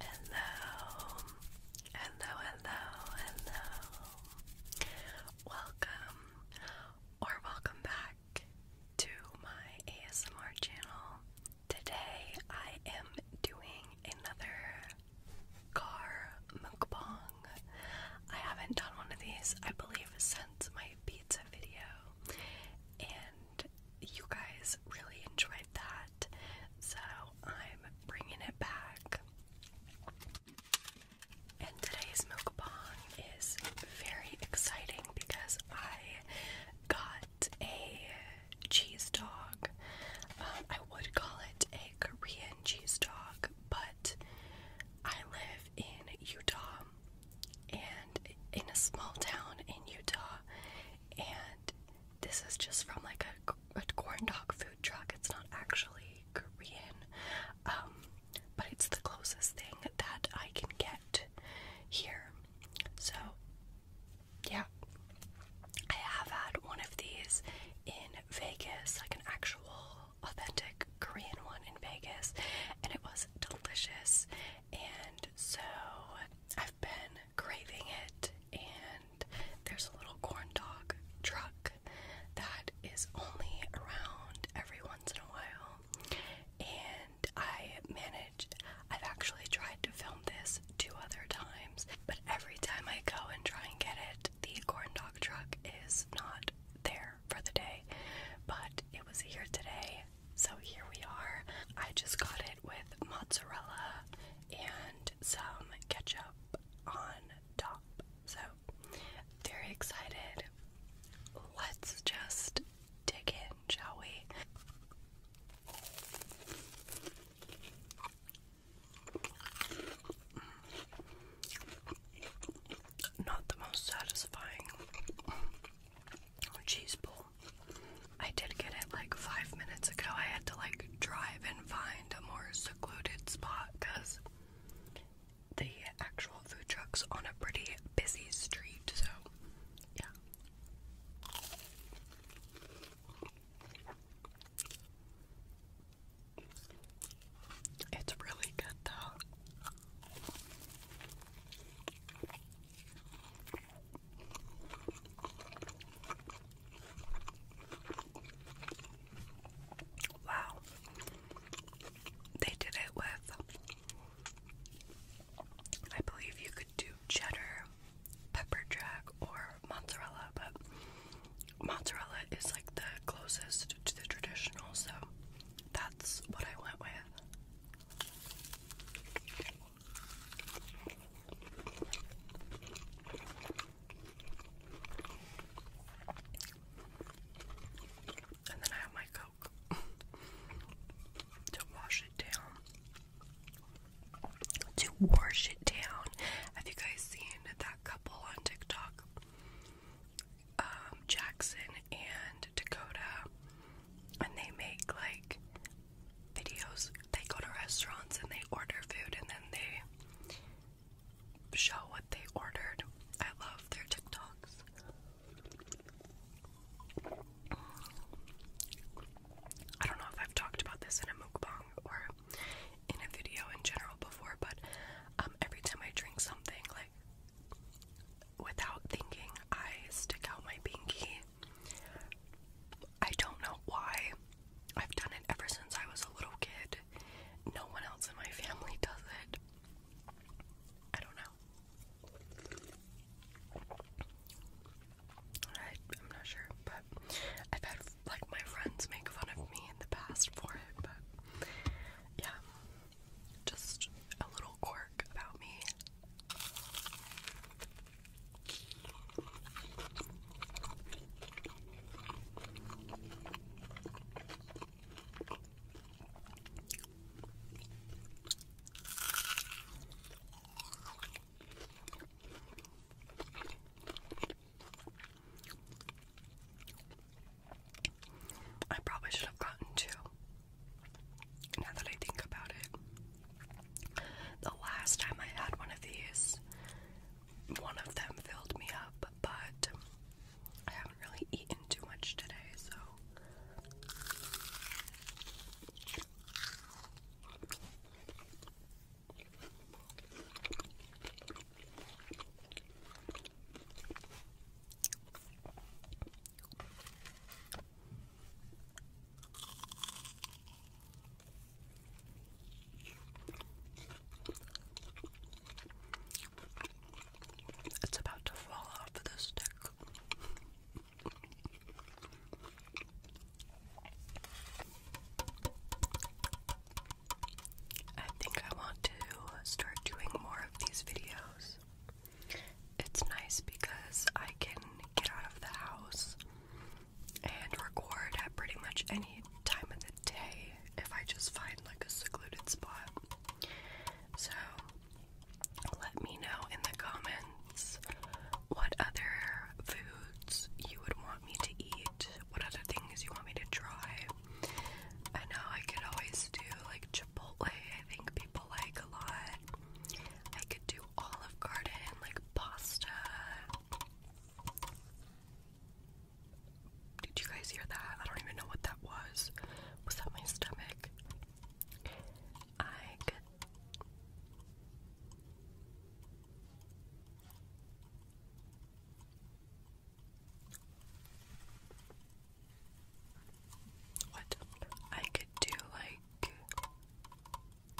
Hello, hello, hello, hello. Welcome or welcome back to my ASMR channel. Today I am doing another car mukbang. I haven't done one of these, I believe, since my pizza video, and you guys really enjoyed that. So I'm bringing it back. And today's mukbang is very exciting because I got a cheese dog. Um, I would call it a Korean cheese dog, but I live in Utah and in a small town in Utah, and this is just from like a, a corn dog food truck. It's not actually Korean, um, but it's the closest thing that I can get here. So, yeah, I have had one of these in Vegas, like an actual authentic Korean one in Vegas, and it was delicious. And so I've been craving it, and there's a little corn dog truck that is only around every once in a while. And I managed, I've actually tried to film this two other times, but every time I go and try and get it, the corn dog truck is not there for the day. But it was here today, so here we are. I just got it with mozzarella and some ketchup on top. So, very excited. Let's just dig in, shall we? Not the most satisfying cheese ball. I did get it like five minutes ago. I had to like drive and find a more secluded spot because the actual food truck's on a pretty busy street, so yeah. It's really good though. Wow. They did it with, I believe you could do cheddar, pepper jack, or mozzarella, but mozzarella is like the closest to the traditional, so that's what I went with. And then I have my Coke to wash it down. To wash it down. Have you guys seen that couple on TikTok? Um, Jackson and Dakota and they make like videos. They go to restaurants and they order food and then they show what they ordered. I love their TikToks. I don't know if I've talked about this in a mukbang or in a video in general before, but um, every time I drink something, like without thinking, I stick out my pinky. I don't know why. I've done it ever since I was a little kid. No one else in my family does it. I don't know. I, am not sure, but I've had like my friends make fun of me in the past for it, but yeah. Just a little quirk about me. I probably should have gotten two. Now that I think about it, the last time I had one of these, one of them filled me up, but I haven't really eaten too much today, so. It's about to fall off the stick. I think I want to start doing more of these videos. It's nice because I can get out of the house and record at pretty much any time of the day if I just find like a secluded spot. So let me know in the comments what other foods you would want me to eat, what other things you want me to try. I know I could always do like Chipotle, I think people like a lot. I could do Olive Garden, like pasta. Did you guys hear that? I don't even know what that was. Was that my stomach? I what I could do, like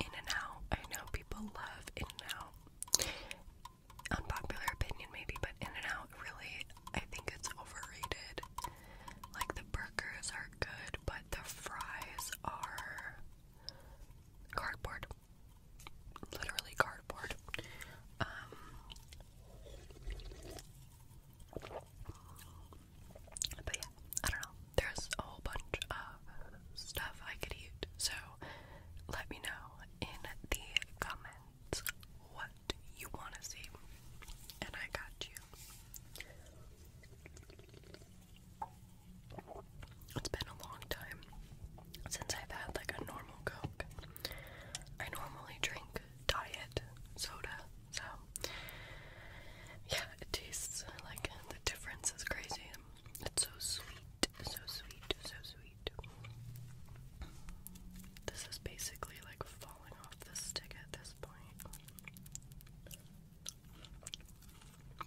In and Out. I know people love In and Out. Unpopular opinion, maybe, but In and Out really, I think it's overrated. Like the burgers are good, but the fries are cardboard literally cardboard. Um, but yeah, I don't know. There's a whole bunch of stuff I could eat, so let me know in the comments what you want to see, and I got you. It's been a long time since I've had like a normal Coke. I normally drink diet soda, so yeah, it tastes like the difference is crazy. It's so sweet, so sweet, so sweet. This is basically like falling off the stick at this point.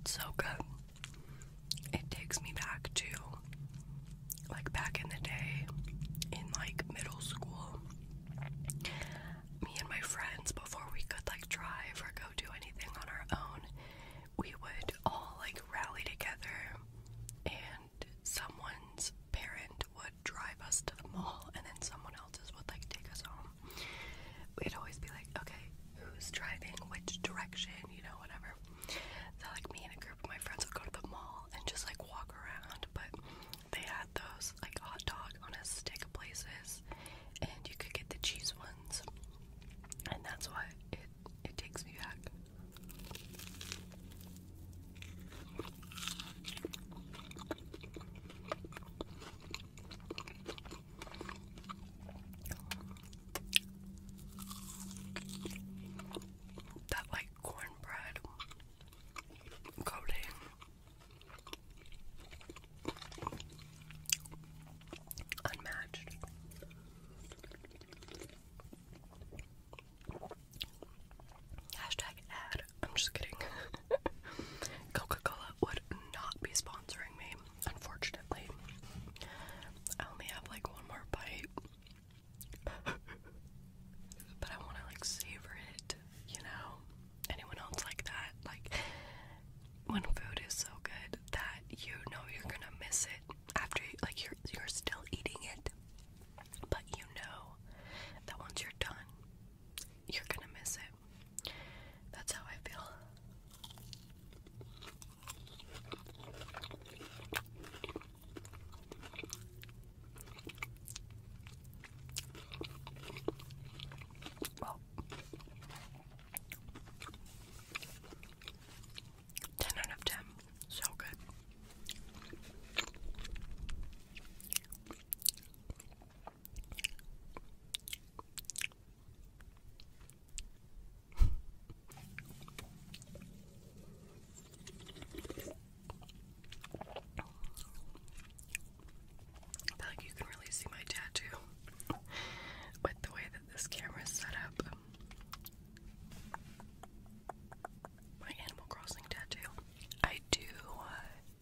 It's so good. It takes me back to like back in the day in like middle school. Me and my friends before we could like drive or go do anything on our own, we would all like rally together and someone's parent would drive us to the mall and then someone else's would like take us home. We'd always be like, okay, who's driving, which direction, you know, whatever. So like me and a group of my friends would go to the mall and just like walk around, but they had those like hot dog on a stick places and you could get the cheese ones. And that's why it it takes me back. That like cornbread coating. Unmatched. Hashtag ad. I'm just kidding. Coca Cola would not be sponsoring me. Unfortunately, I only have like one more bite, but I want to like savor it, you know? Anyone else like that? Like, when food is so good that you know you're gonna miss it after, like, you're, you're still eating it, but you know that once you're done, you're gonna miss it. That's how I feel. ten out of ten, so good. I feel like you can really see my tattoo with the way that this camera is set up. My Animal Crossing tattoo. I do uh,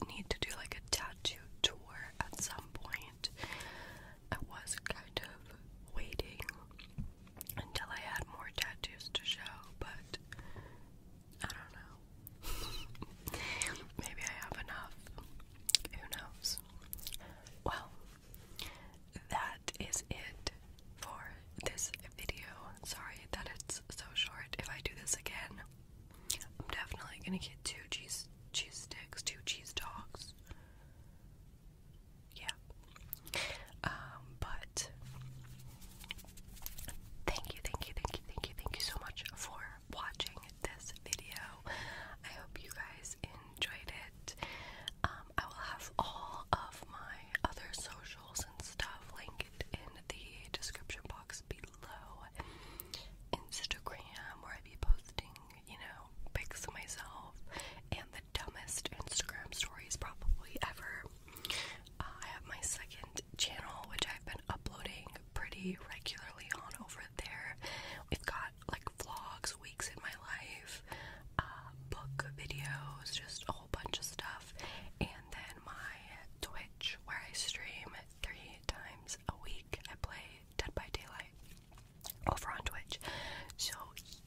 need to do like a tattoo tour at some point. I was kind of waiting until I had more tattoos to show, but I don't know. Maybe I have enough. Who knows? Well, that is it for this video. Sorry that it's so short. If I do this again, I'm definitely gonna get two cheese cheese sticks, two cheese dogs. Yeah. Um, but thank you, thank you, thank you, thank you, thank you so much for watching this video. I hope you guys enjoyed it. Um, I will have all of my other socials and stuff linked in the description box below low Instagram where I be posting, you know, pics of myself and the dumbest Instagram stories probably ever. Uh, I have my second channel, which I've been uploading pretty regularly on over there. We've got like vlogs, weeks in my life, uh, book videos, just a whole bunch of stuff, and then my Twitch where I stream three times a week. I play Dead by Daylight over on Twitch. So,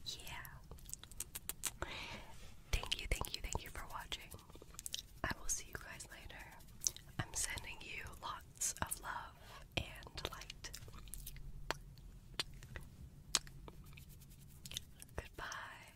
yeah. Thank you, thank you, thank you for watching. I will see you guys later. I'm sending you lots of love and light. Goodbye.